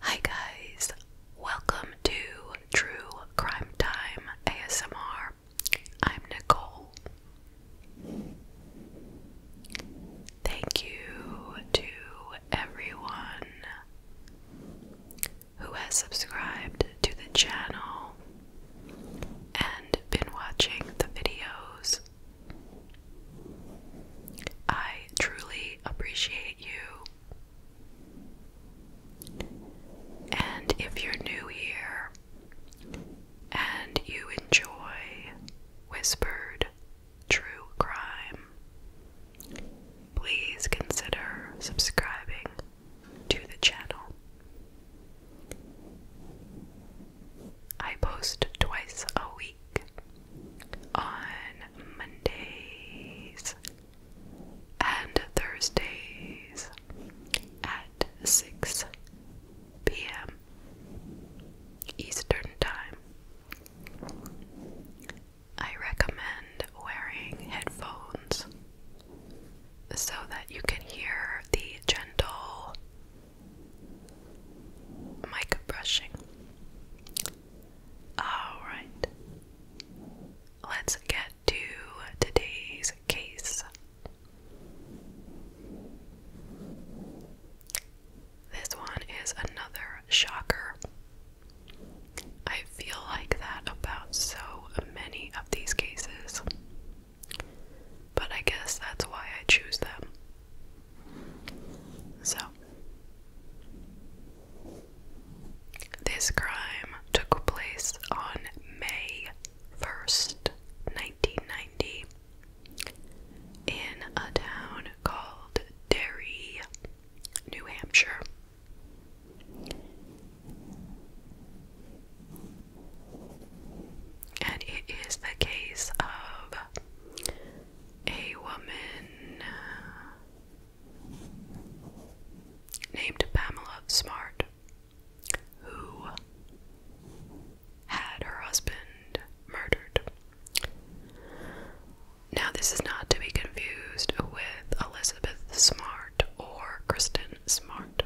Hi guys, welcome to True Crime Time ASMR. I'm Nicole. Thank you to everyone who has subscribed to the channel and been watching the videos. I truly appreciate you. And if you're new here and you enjoy whispered true crime, please consider subscribing to the channel. I post twice a week on Mondays and Thursdays at 6 p.m. Eastern Time. I recommend wearing headphones so that you can hear the gentle mic brushing. Alright, let's get to today's case. This one is another shocker. I feel like that about so many of these cases, but I guess that's why I choose them. So, this crime took place on May 1st, 1990, in a town called Derry, New Hampshire. And it is the case of a woman named Pamela Smart, who had her husband murdered. Now, this is not to be confused with Elizabeth Smart or Kristen Smart.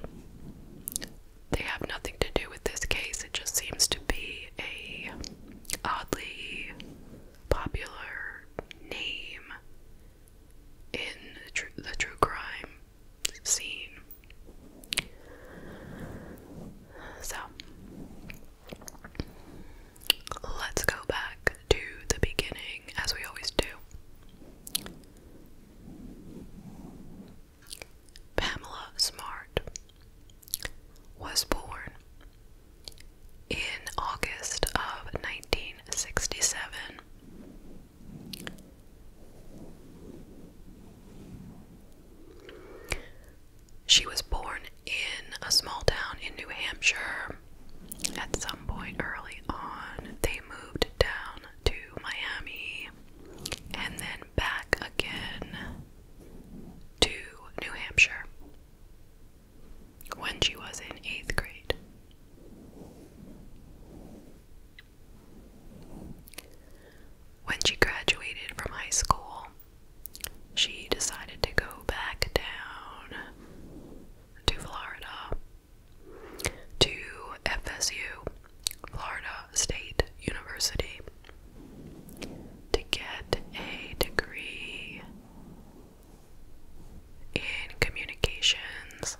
They have nothing to do with this case, it just seems to be a oddly popular name in the true, crime scene. So, let's go back to the beginning as we always do. Pamela Smart was born in August of 1967, she was born in a small town in New Hampshire. At some point early on, they moved down to Miami and then back again to New Hampshire when she was in eighth grade. When she graduated from high school, she decided to go back down to Florida to FSU, Florida State University, to get a degree in communications.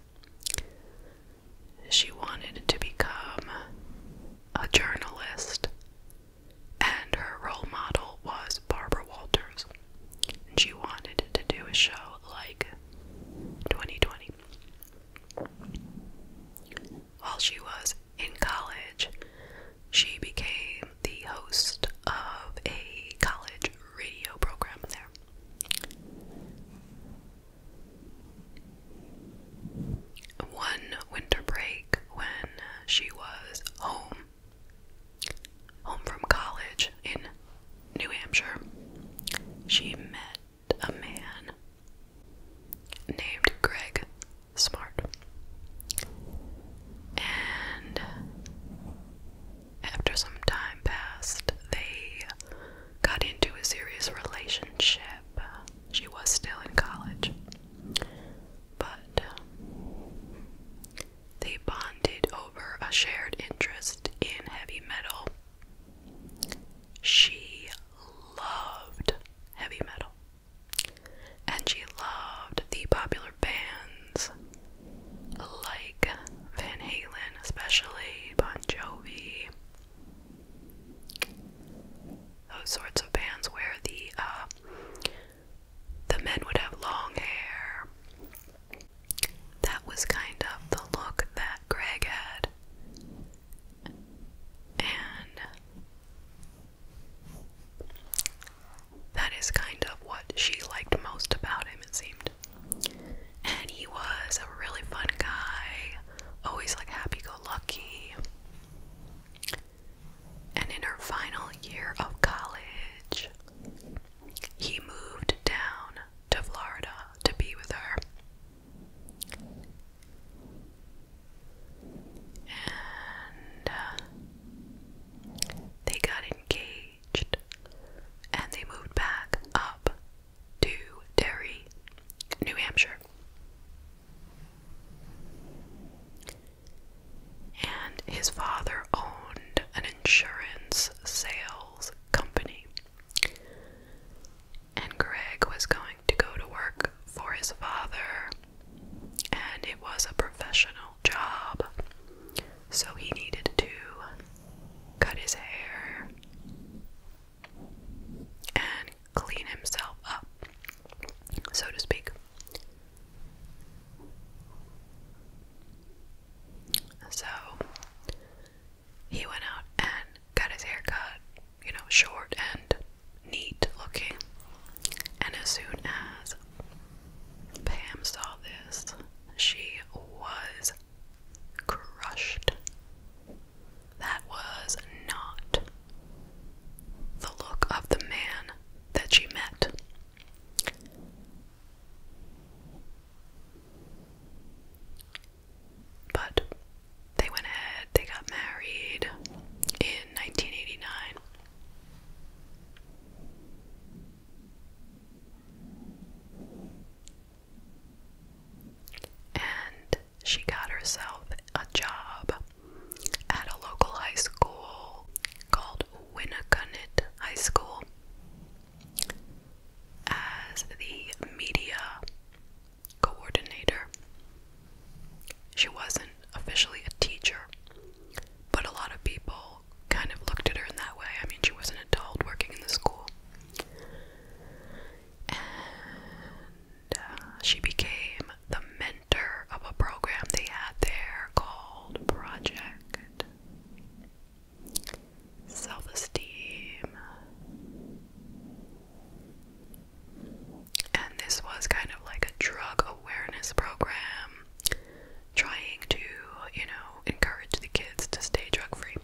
She wanted to become a journalist, and her role model was Barbara Walters. And she wanted to do a show like 2020. While she was in college, she became the host of a college radio program there. One winter break when she was home, home from college in New Hampshire, she met a man named Greg Smart. And after some time passed, they got into a serious relationship. She was still in college. But um, they bonded over a shared interest in heavy metal. She loved heavy metal. And she loved the popular band like Van Halen, especially Bon Jovi, those sorts of bands where the uh, the men would have long hair. That was kind of the look that Greg had, and that is kind of what she liked most about him, it seemed. And he was a really fun guy, always like happy go lucky. And in her final year of college, he moved down to Florida to be with her. And uh, they got engaged and they moved back up to Derry, New Hampshire. And his father owned an insurance sales company. And Greg was going to go to work for his father, and it was a professional job. So he needed to cut his hair and clean himself up, so to speak. So he went out and got his hair cut, you know, short and neat looking. And as soon as Pam saw this. She was crushed. That was not the look of the man that she met. But they went ahead, they got married in 1989. And she got herself a job at a local high school called Winneconnet High School as the media coordinator. She wasn't officially a teacher, but a lot of people kind of looked at her in that way. I mean, she was an adult working in the school. And uh, she became the mentor of a program they had there called Project Self Esteem. And this was kind of like a drug awareness program trying to, you know, encourage the kids to stay drug free.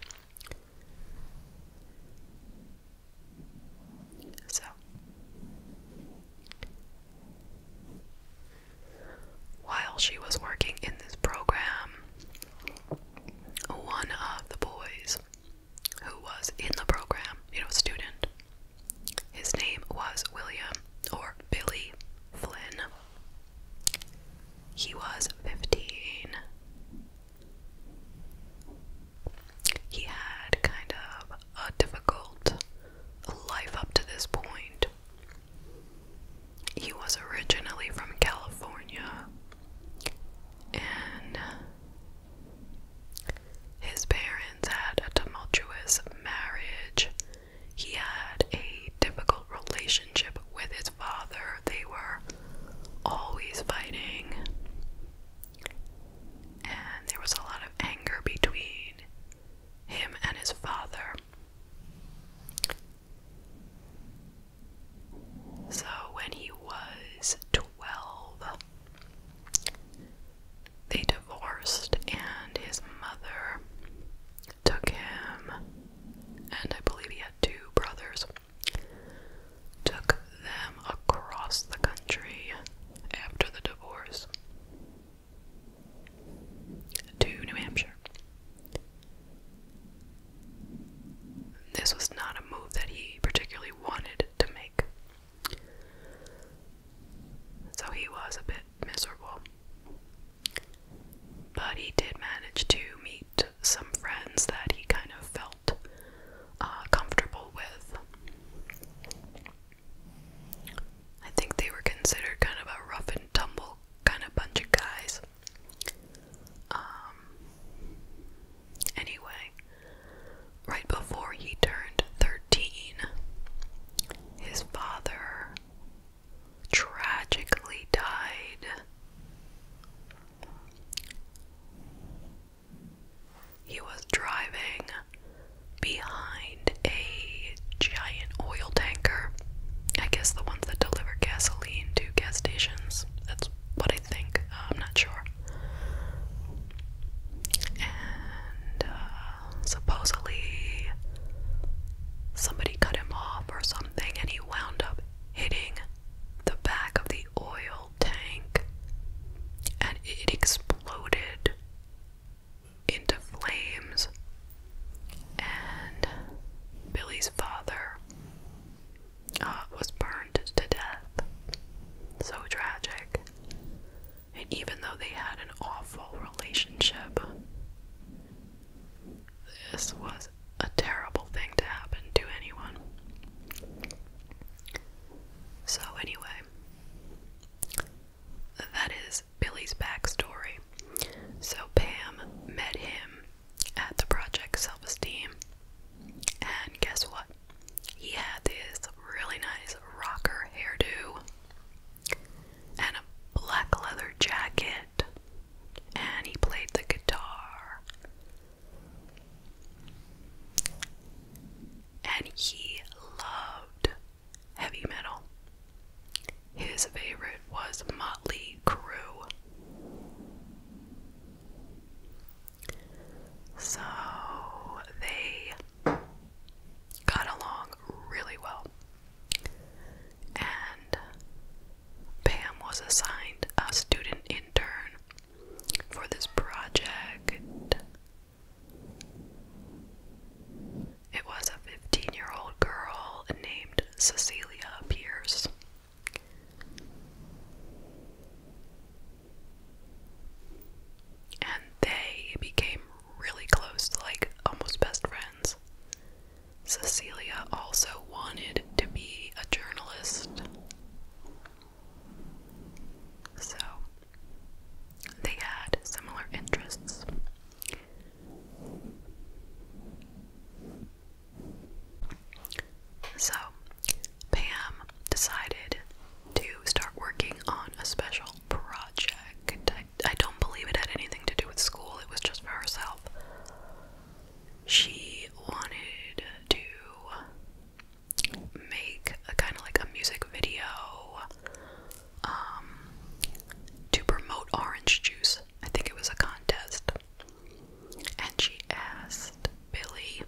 So, while she was working in this program, one of the boys who was in the program, you know, student, his name was William or Billy Flynn. He was 15. He had kind of a difficult life up to this point. He was originally from California, and his parents had a tumultuous marriage he had a difficult relationship with his father. They were always fighting, and there was a lot of anger between him and his father. So, when he was 12, they divorced, and his mother took him, and I believe he had two brothers, took them across the country after the divorce to New Hampshire. This was not a move that he particularly wanted to make. So he was a bit miserable. But he did manage to meet some friends that he kind of felt uh, comfortable with. I think they were considered kind of a rough and tumble kind of bunch of guys. Um, anyway, right before he turned 13, his father tragically died. He was driving behind a giant oil tanker. I guess the ones that deliver gasoline to gas stations. That's what I think. Uh, I'm not sure. And uh, supposedly somebody cut him off or something, and he wound up hitting the back of the oil tank and it exploded into flames. And Billy's father uh, was burned to death. So tragic. And even though they had an awful relationship, this was a terrible thing to happen to anyone. So, anyway, that is Billy's backstory. So, Pam met him at the Project Self Esteem, and guess what? He had this really nice rocker hairdo and a black leather jacket and he played the guitar. And he loved heavy metal. His favorite was Motley Crue. So they got along really well. And Pam was assigned a student intern for this project. It was a 15 year old girl named Cecilia Pierce. And they became really close, like almost best friends. Cecilia also wanted to be a journalist. So they had similar interests. So Pam decided to start working on a special project. I don't believe it had anything to do with school, it was just for herself. She wanted to make a kind of like a music video um, to promote orange juice. I think it was a contest. And she asked Billy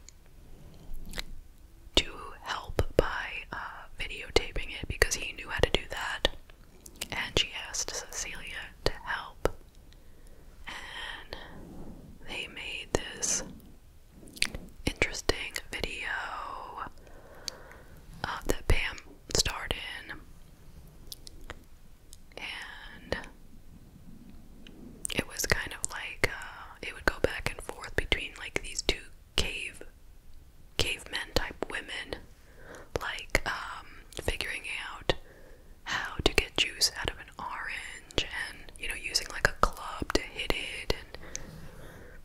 to help by uh, videotaping it because he knew how to do that and she asked Cecilia to help. And they made this interesting video uh, that Pam starred in. And it was kind of like uh, it would go back and forth between like these two cave cavemen type women like um, figuring out how to get juice out of an orange and you know using like a club to hit it and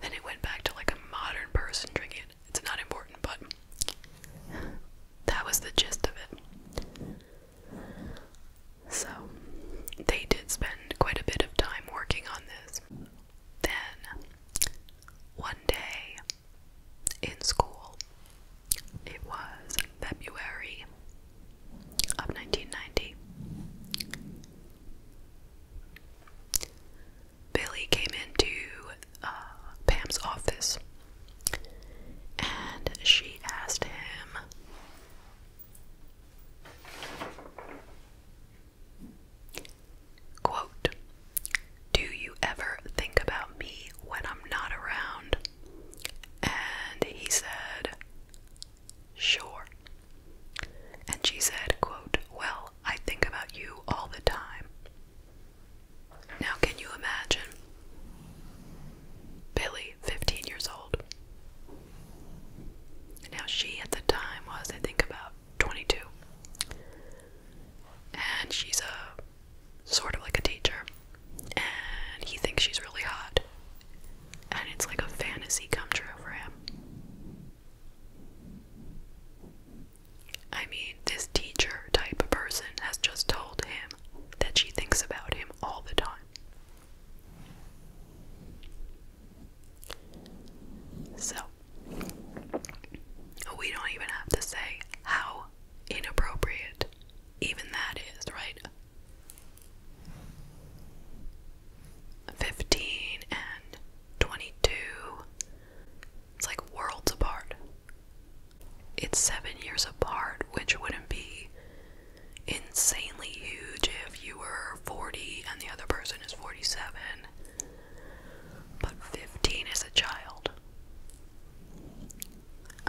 then it went back to like a modern person drinking it it's not important but that was the gist of it so they did spend quite a bit of time working on this then one day in school. It was February of 1990. Billy came into uh, Pam's office and she asked him. Quote, do you ever think about me when I'm not around? And he said, Sure. And she said, quote, Well, I think about you all the time. Now, can you imagine? Billy, 15 years old. Now, she at the time was, I think, about 22. And she's a sort of like a teacher, and he thinks she's really hot, and it's like a fantasy come true for him. I mean, this teacher type of person has just told him that she thinks about him all the time. So, we don't even have to say how inappropriate even that is, right? 15 and 22. It's like worlds apart. It's seven years apart, which wouldn't be insanely huge if you were 40 and the other person is 47. But 15 is a child.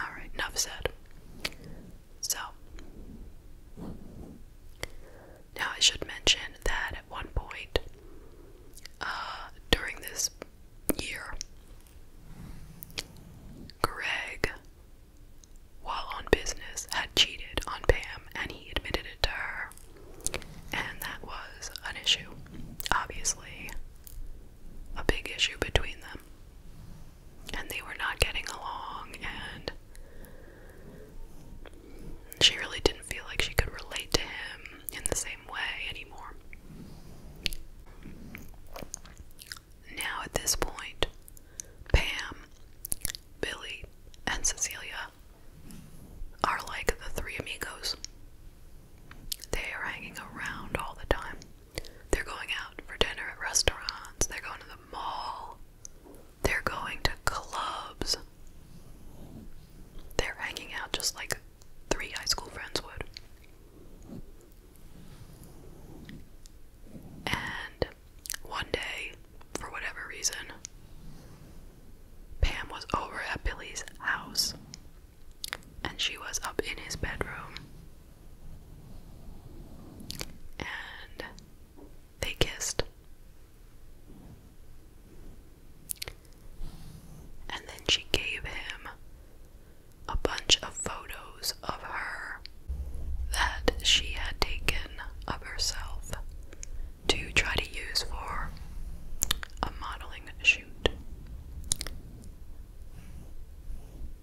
Alright, enough said. So, now I should mention that at one point uh, during this year, Greg, while on business, had cheated on Pam and he admitted it to her. And that was an issue, obviously a big issue between them. And they were not getting along, and she really didn't feel like she could relate to him in the same way anymore. Now, at this point, Pam, Billy, and Cecilia are like the three amigos. They are hanging around all the time. They're going out for dinner at restaurants, they're going to the mall, they're going to clubs. They're hanging out just like three high school friends would. And one day, for whatever reason, Pam was over at Billy's house and she was up in his bedroom. And they kissed. And then she gave him a bunch of photos of her that she had taken of herself to try to use for a modeling shoot.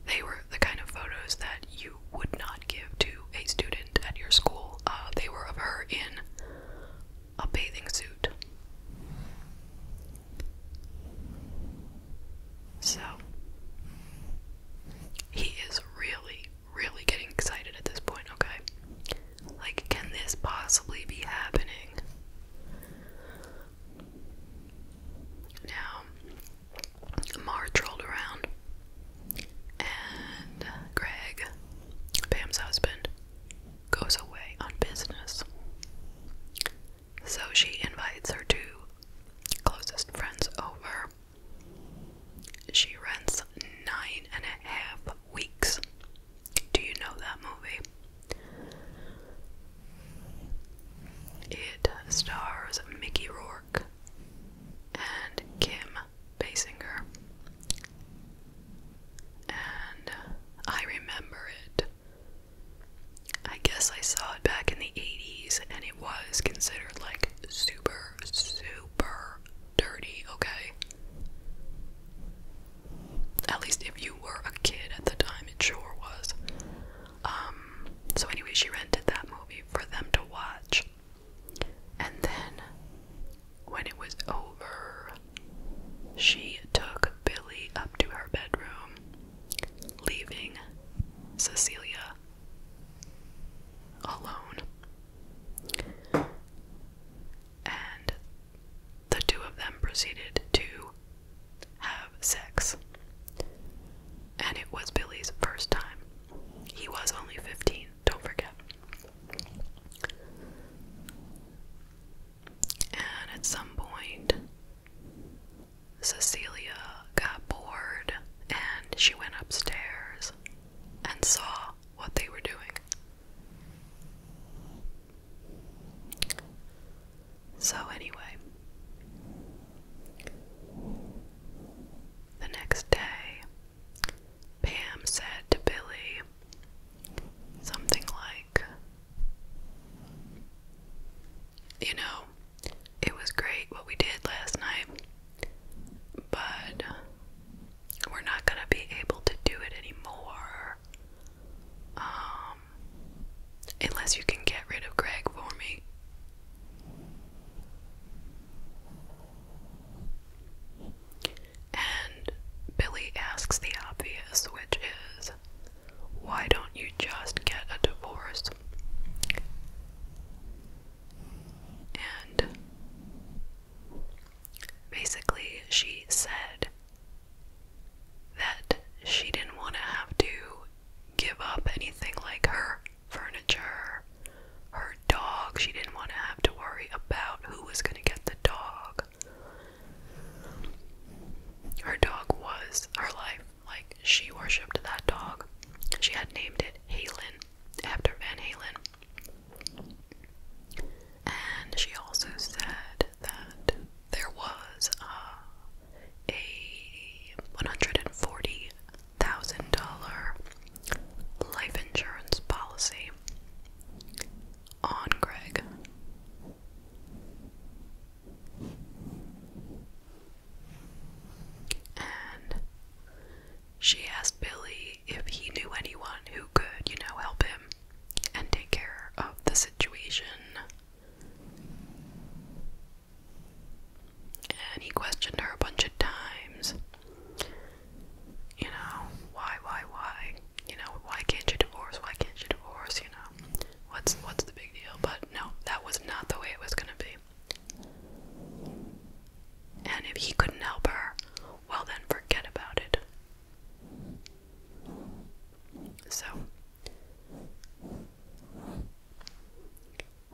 They were the kind of photos that you would not give to a student at your school. Uh, they were of her in a bathing suit. So, he is really, really getting excited at this point, okay? Like, can this possibly be happening? Now, Marge rolled around, and Greg, Pam's husband, goes away on business. So she invites her two closest friends over. She rents nine and a half weeks. Do you know that movie? It stars Mickey Rourke and Kim Basinger. And I remember it. I guess I saw it back in the 80s and it was considered like super, super dirty, okay? At least if you were a kid at the time, it sure was. Um, so anyway, she rented that movie for them to watch. And then when it was over, she took Billy up to her bedroom, leaving Cecilia alone. And the two of them proceeded to have sex. And it was Billy's first time. He was only 15, don't forget. And at some point, Cecilia got bored and she went upstairs and saw what they were doing. So, anyway, the next day, Pam said to Billy something like, You know, it was great what we did last night, but we're not going to be able to do it anymore. Um, Unless you can get rid of Greg for me. And Billy asks the obvious, which is why don't you just get a divorce? And basically, she said that she didn't want to have to give up anything like her furniture, her dog. She didn't want to have to worry about who was going to get the dog. Her dog was her life. Like, she worshipped that dog. She had named it Halen after Van Halen. And she also said that there was uh, a $140,000 life insurance policy on Greg. And she asked Billy if he knew anyone who could, you know, help him and take care of the situation. And he questioned her a bunch of times. You know, why, why, why? You know, why can't you divorce? Why can't you divorce? You know, what's what's the big deal? But no, that was not the way it was gonna be. And if he couldn't help her, well then forget about it. So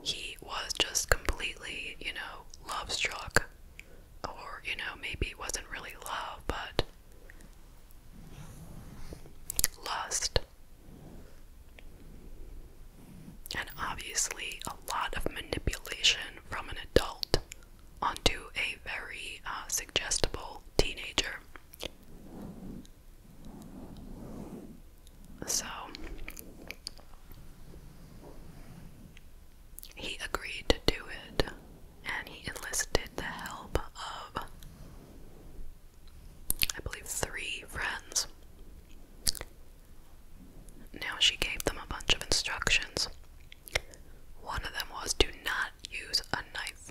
he was just completely, you know, love struck. Or, you know, maybe it wasn't really love, but lust. And obviously, a lot of manipulation from an adult onto a very uh, suggestible teenager. So he agreed to do it and he enlisted the help of, I believe, three friends. Now she gave them a bunch of instructions. One of them was do not use a knife.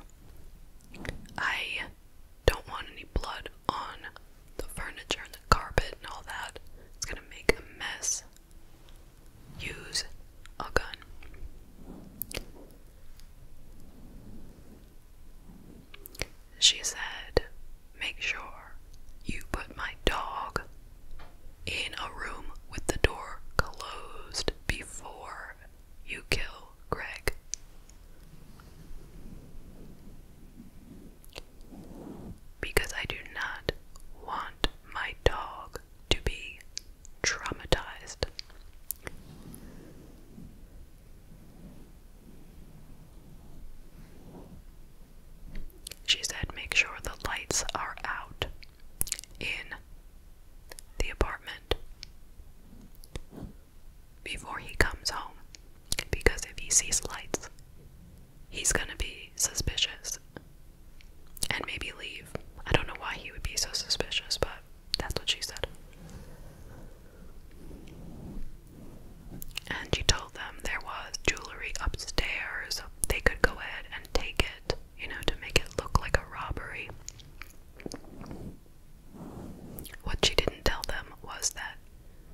I don't want any blood on the furniture and the carpet and all that. It's gonna make a mess. Use a gun. She said, Make sure you put my dog in a room with the door closed before you kill Greg. Because I do not want my dog to be traumatized. She said, make sure the lights are out in the apartment before he comes home because if he sees lights, he's gonna be suspicious and maybe leave. I don't know why he would be so suspicious, but that's what she said. And she told them there was jewelry upstairs, they could go ahead and take it, you know, to make it look like a robbery. What she didn't tell them was that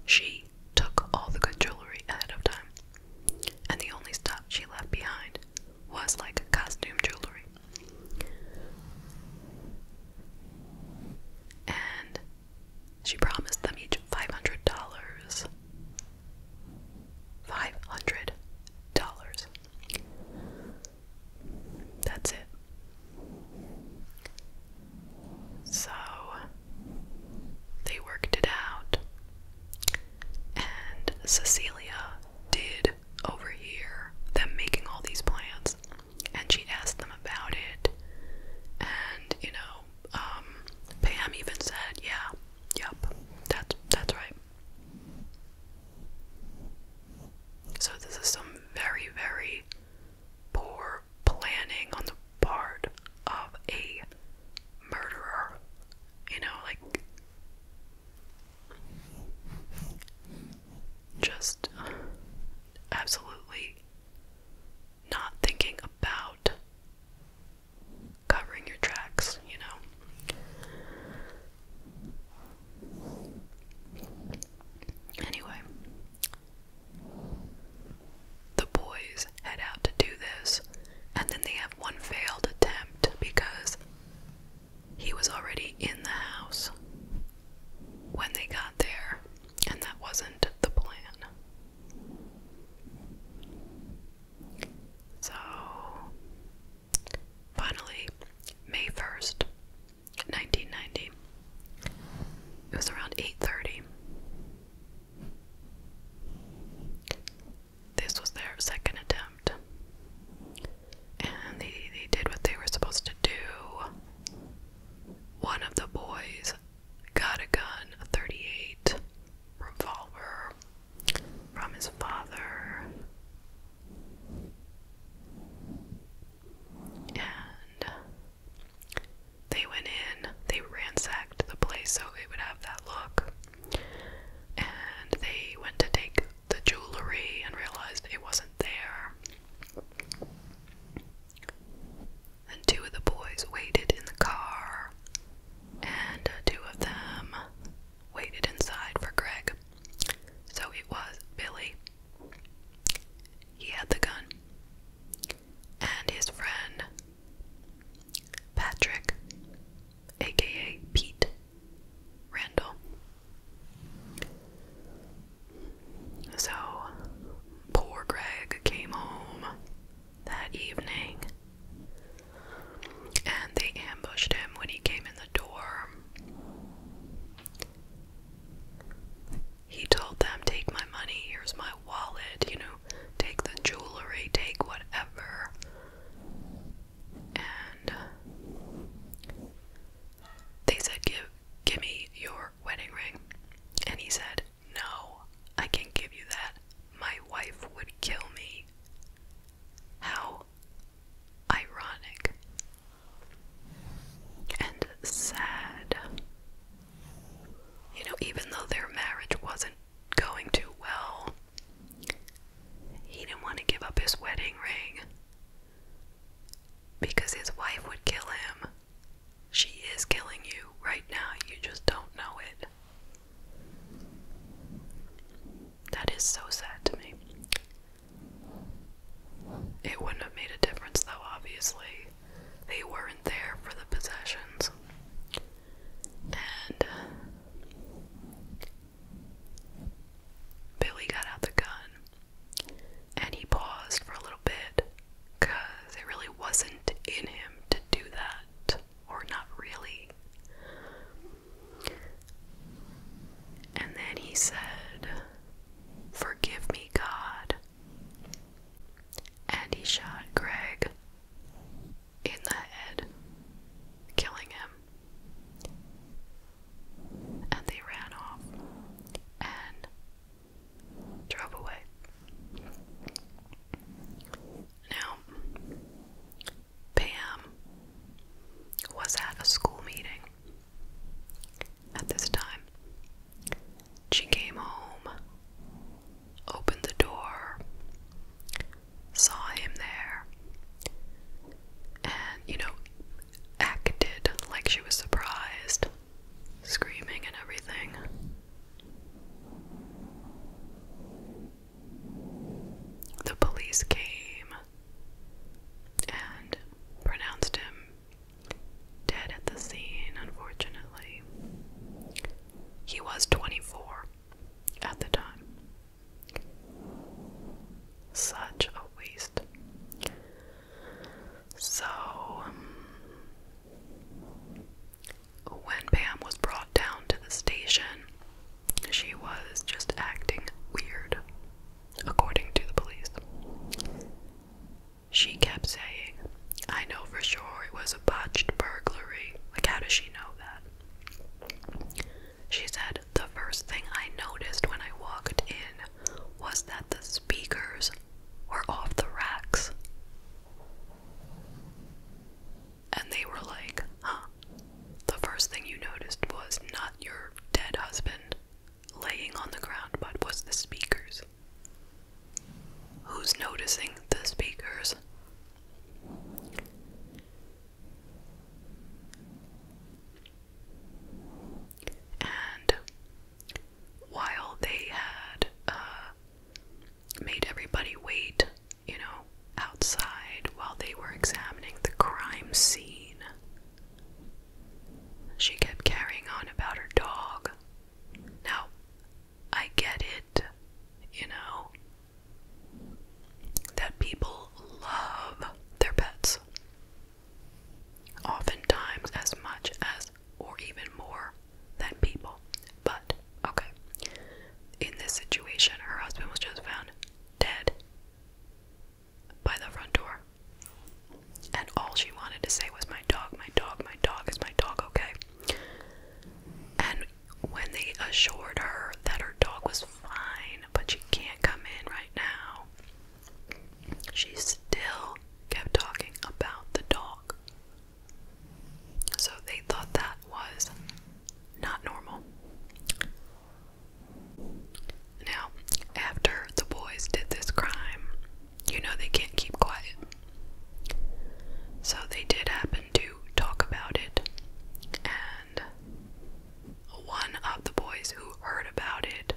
she took all the good jewelry ahead of time, and the only stuff she left behind was like costume jewelry. And she promised them each $500. $500. That's it. So they worked it out, and Cecilia did over here. them making all these plans, and she asked them about it. And you know, um, Pam even said, "Yeah, yep, that's that's right." So this is some very, very poor planning on the part of a murderer. You know, like just absolutely not thinking about covering your tracks, you know. Anyway, the boys head out to do this, and then they have one failed attempt because he was already in the house when they got there, and that wasn't the plan. So, finally, May 1st, 1990. It was around 8:30. This was their second attempt. And they, they did what they were supposed to do. One of the boys got a gun, a 38 revolver from his father. And they went in, they ransacked the place so it would have that look. And they went to take the jewelry and realized it wasn't there. And two of the boys waited in the car, and two of them waited inside for Greg. So it was Billy he had the gun. And his friend, Patrick, aka Pete Randall. So, poor Greg came home that evening and they ambushed him when he came in the door. He told them, Take my money, here's my wallet, you know, take the jewelry, take whatever. And uh, they said, Give give me your wedding ring. And he said, No, I can't give you that. My wife would kill me. How ironic and sad. You know, even though their marriage wasn't going too well, he didn't want to give up his wedding ring because his wife would kill him. She is killing you right now, you just don't know it. That is so sad to me. It wouldn't have made a difference, though, obviously. They weren't there for the possessions. And uh, Billy got out the gun and he paused for a little bit because it really wasn't in him to do that, or not really. And then he said, Forgive me, God. And he shot Greg in the head, killing him. And they ran off and drove away. Now, Pam was at a school meeting at this time. She came home, opened the door, saw him there, and, you know, acted like she was surprised, screaming and everything. The police came and pronounced him Dead at the scene, unfortunately. He was 24 at the time. Such a waste. So, um, when Pam was brought down to the station, she was just acting weird, according to the police. She kept saying, I know for sure it was a botched burglary. Like, how does she know that? She said, The first thing I noticed when I walked in was that the speakers were off the racks. And they were like, Huh? The first thing you noticed was not your dead husband, laying on the ground but was the speaker's. Who's noticing the speakers? And while they had uh, made everybody wait, you know, outside while they were examining the crime scene, she kept carrying on about her dog. Now, I get it, you know, that people love their pets. Oftentimes, as much as or even more than people. But, okay, in this situation, her husband was just found dead by the front door. And all she wanted to say was, My dog, my dog, my dog, is my dog okay? And when they assured her that her dog was fine, but she can't come in right now, she still kept talking about the dog. So they thought that was not normal. Now, after the boys did this crime, you know they can't keep quiet. So they did happen to talk about it, and one of the boys who heard about it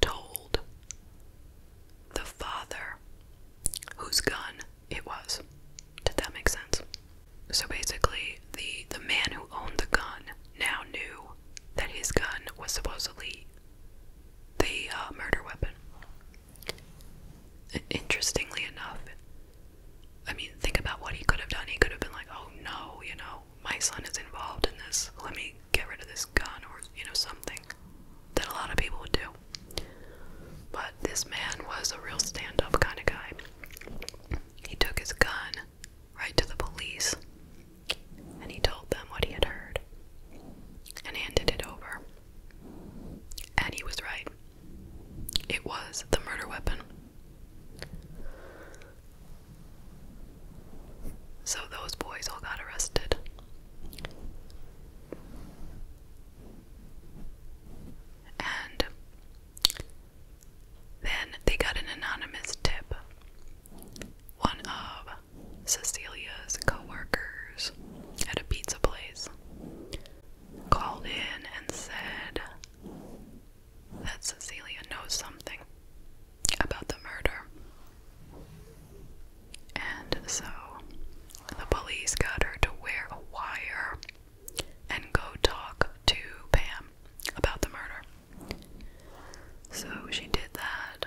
told the father whose gun it was. Did that make sense? So basically, the the man who owned the gun now knew that his gun was supposedly the uh, murder weapon. Interestingly enough, I mean, think about what he could have done. He could have been like, oh no, you know, my son is involved in this. Let me get rid of this gun or, you know, something that a lot of people would do. But this man was a real stand up kind of guy. He took his gun right to the police and he told them what he had heard and handed it over. And he was right. It was the murder weapon. So those boys all got arrested. And then they got an anonymous tip one of Cecilia's coworkers at a pizza place called in and said that Cecilia knows something about the murder. And so the police got her to wear a wire and go talk to Pam about the murder. So she did that.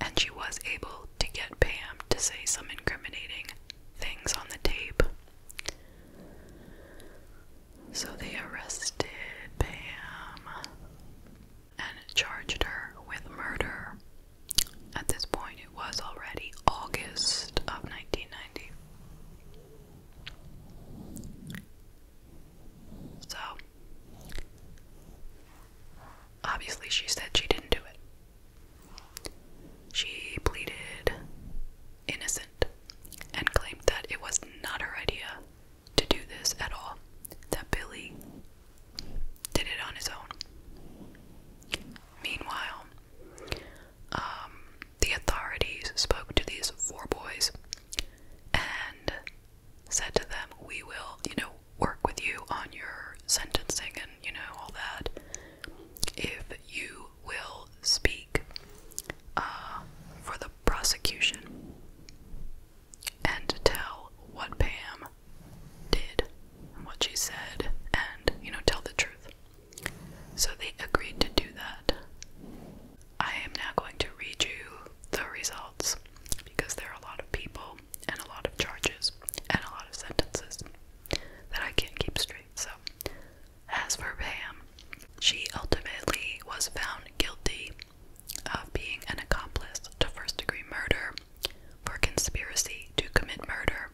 And she was able to get Pam to say some incriminating things on the tape. So they arrested Pam and charged her with murder. At this point, it was already August of 1990. So, obviously, she said she didn't do it. She pleaded innocent and claimed that it was not her idea to do this at all, that Billy did it on his own. Meanwhile, um, the authorities spoke to these four boys and said to them, We will, you know, work with you on your sentencing and, you know, all that if you will speak uh, for the prosecution and tell what Pam did and what she said and, you know, tell the truth. So they agreed to do that. I am now going to read you the results because there are a lot of people and a lot of charges and a lot of sentences that I can't keep straight. So, as for Pam, she ultimately was found guilty of being an accomplice to first degree murder for conspiracy to commit murder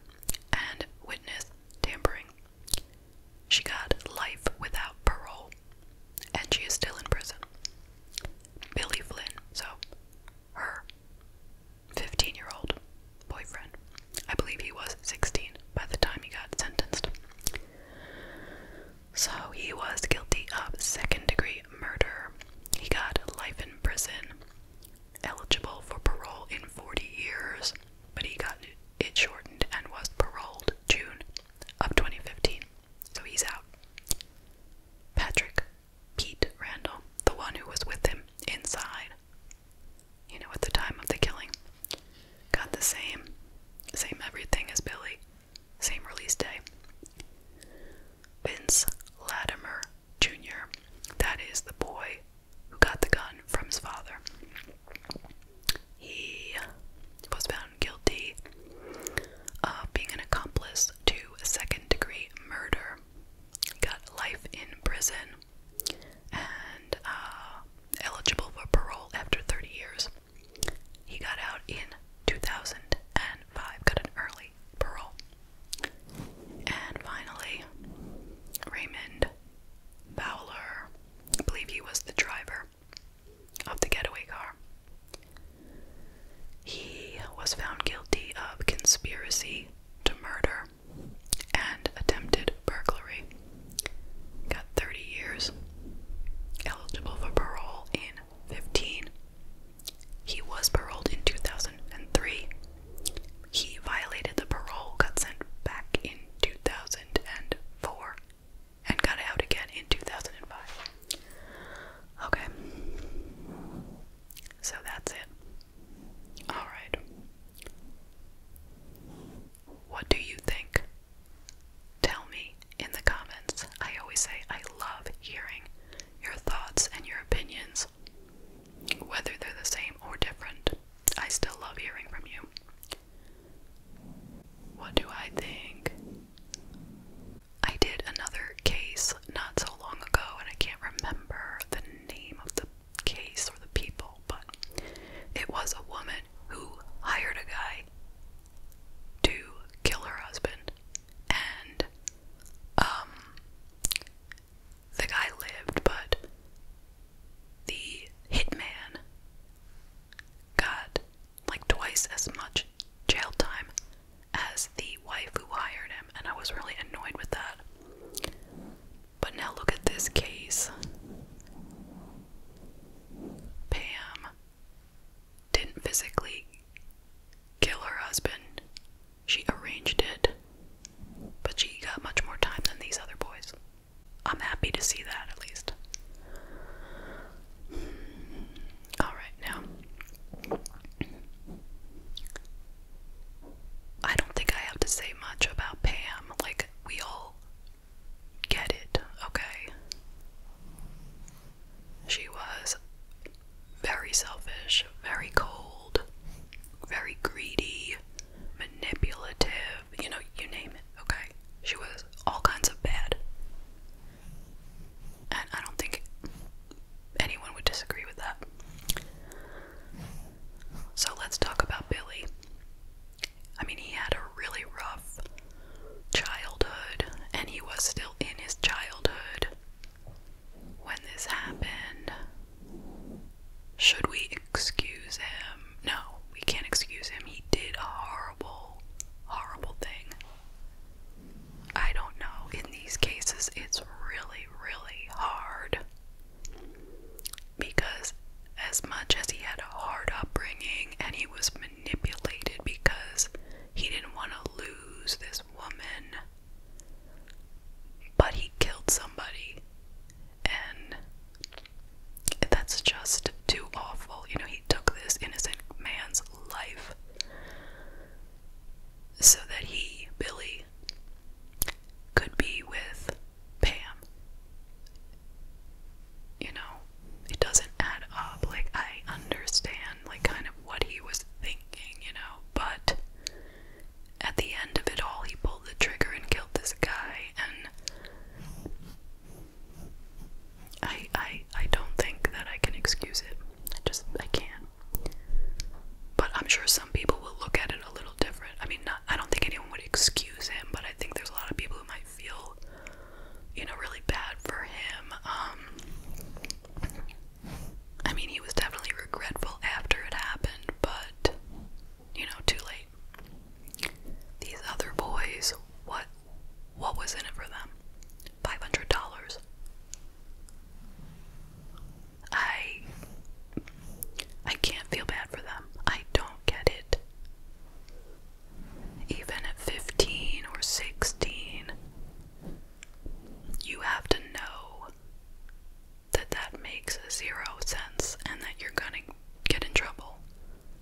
and witness tampering. She got life without parole and she is still in prison. Billy Flynn, so her 15 year old boyfriend. I believe he was 16 by the time he got sentenced. So he was guilty of second degree murder. He got life in prison, eligible for parole in 40 years, but he got it shortened and was paroled June of 2015, so he's out. Patrick Pete Randall, the one who was with him inside, you know, at the time of the killing, got the same, same everything as Billy, same release day. Vince Latimer Jr., that is the boy who got the gun from his father. He was found guilty of being an accomplice to second degree murder. Got life in prison and uh, eligible for parole after 30 years. He got out in 2005, got an early parole. And finally, Raymond Fowler, believe he was the driver of the getaway car. He was found guilty of conspiracy to murder and attempted burglary. Got 30 years, eligible for parole in 15. He was paroled in 2003. He violated the parole, got sent back in 2004, and got out again in 2005. Okay. So that's it. Alright. What do you think? Tell me in the comments. I always say I love hearing your thoughts and your opinions, whether they're the same or different. I still love hearing from you. What do I think? I did another case not so long ago, and I can't remember the name of the case or the people, but it was a woman who hired a guy to kill her husband, and um, the guy lived, but the hitman got like twice as much jail time as the wife who hired him, and I was really annoyed with that. But now look at this case. Pam didn't physically kill her husband, she arranged it, but she got much more time than these other boys. I'm happy to see that at least. All right, now I don't think I have to say much about Pam. Like, we all get it, okay? She was very selfish, very cold, very greedy, manipulative, you know, you name it, okay? She was all kinds of bad. And I don't think anyone would disagree with that. So let's talk about Billy. I mean, he had a really rough childhood, and he was still in his childhood when this happened. Should we excuse him? No, we can't excuse him. He did a horrible, horrible thing. I don't know. In these cases, it's really, really hard. Because as much as he had a hard upbringing and he was manipulated because he didn't want to lose this woman, but he killed somebody. And that's just too awful. You know, he took this innocent man's life so that he, Billy, could be with Pam. You know, it doesn't add up. Like, I understand, like, kind of what he was thinking, you know, but at the end of it all, he pulled the trigger and killed this guy, and I I I don't think that I can excuse it. I just I can't. But I'm sure some people will look at it a little different. I mean, I don't think anyone would excuse him, but I think there's a lot of people who might feel, you know, really bad for him. Um, I mean, he was definitely regretful after it happened, but, you know, too late. These other boys, what what was in it for them? $500. I I can't feel bad for them. I don't get it. Even at 15 or 16, you have to know that that makes zero sense and that you're gonna get in trouble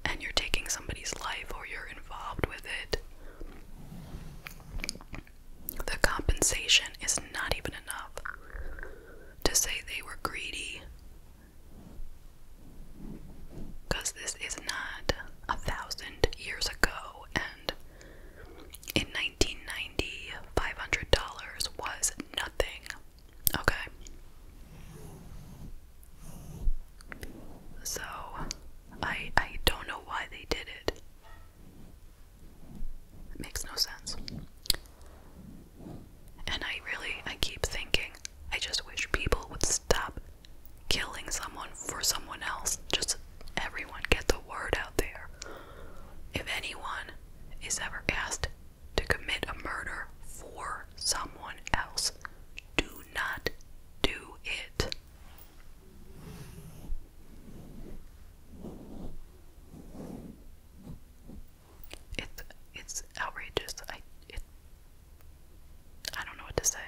and you're taking somebody's life or you're involved with it the compensation is not even enough to say they were greedy. Because this is not a thousand years ago, and in 1990, $500 was nothing. Okay? So, I I don't know why they did it. It makes no sense. And I really I keep thinking I just wish people would stop killing someone for someone else. Just everyone get the word out there. If anyone is ever asked to commit a murder for someone else, do not do it. It's it's outrageous. I I don't know what to say.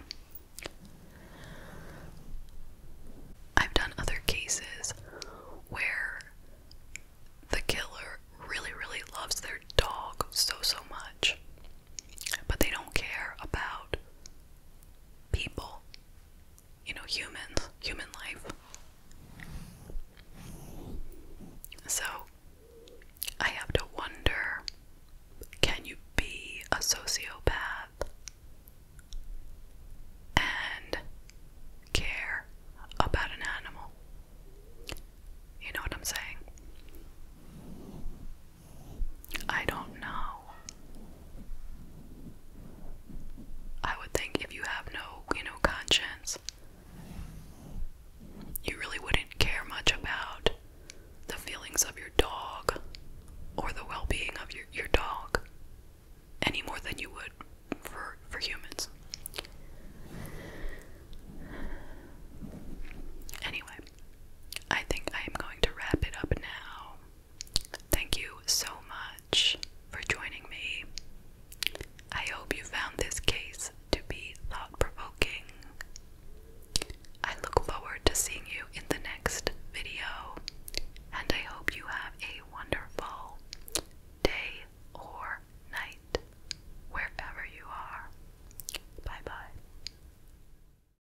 I've done other cases where the killer really, really loves their dog so so much but they don't care about people, you know, humans, human life. So I have to wonder can you be a sociopath and care about an animal? You know what I'm saying? I don't know. I would think if you have no, you know, conscience, you really wouldn't care much about the feelings of your dog or the well-being of your your dog any more than you would for for humans. Anyway, I think I am going to wrap it up now. Thank you so much for joining me. I hope you found this case to be thought provoking. I look forward to seeing you in the next video, and I hope you have a wonderful day or night wherever you are. Bye bye.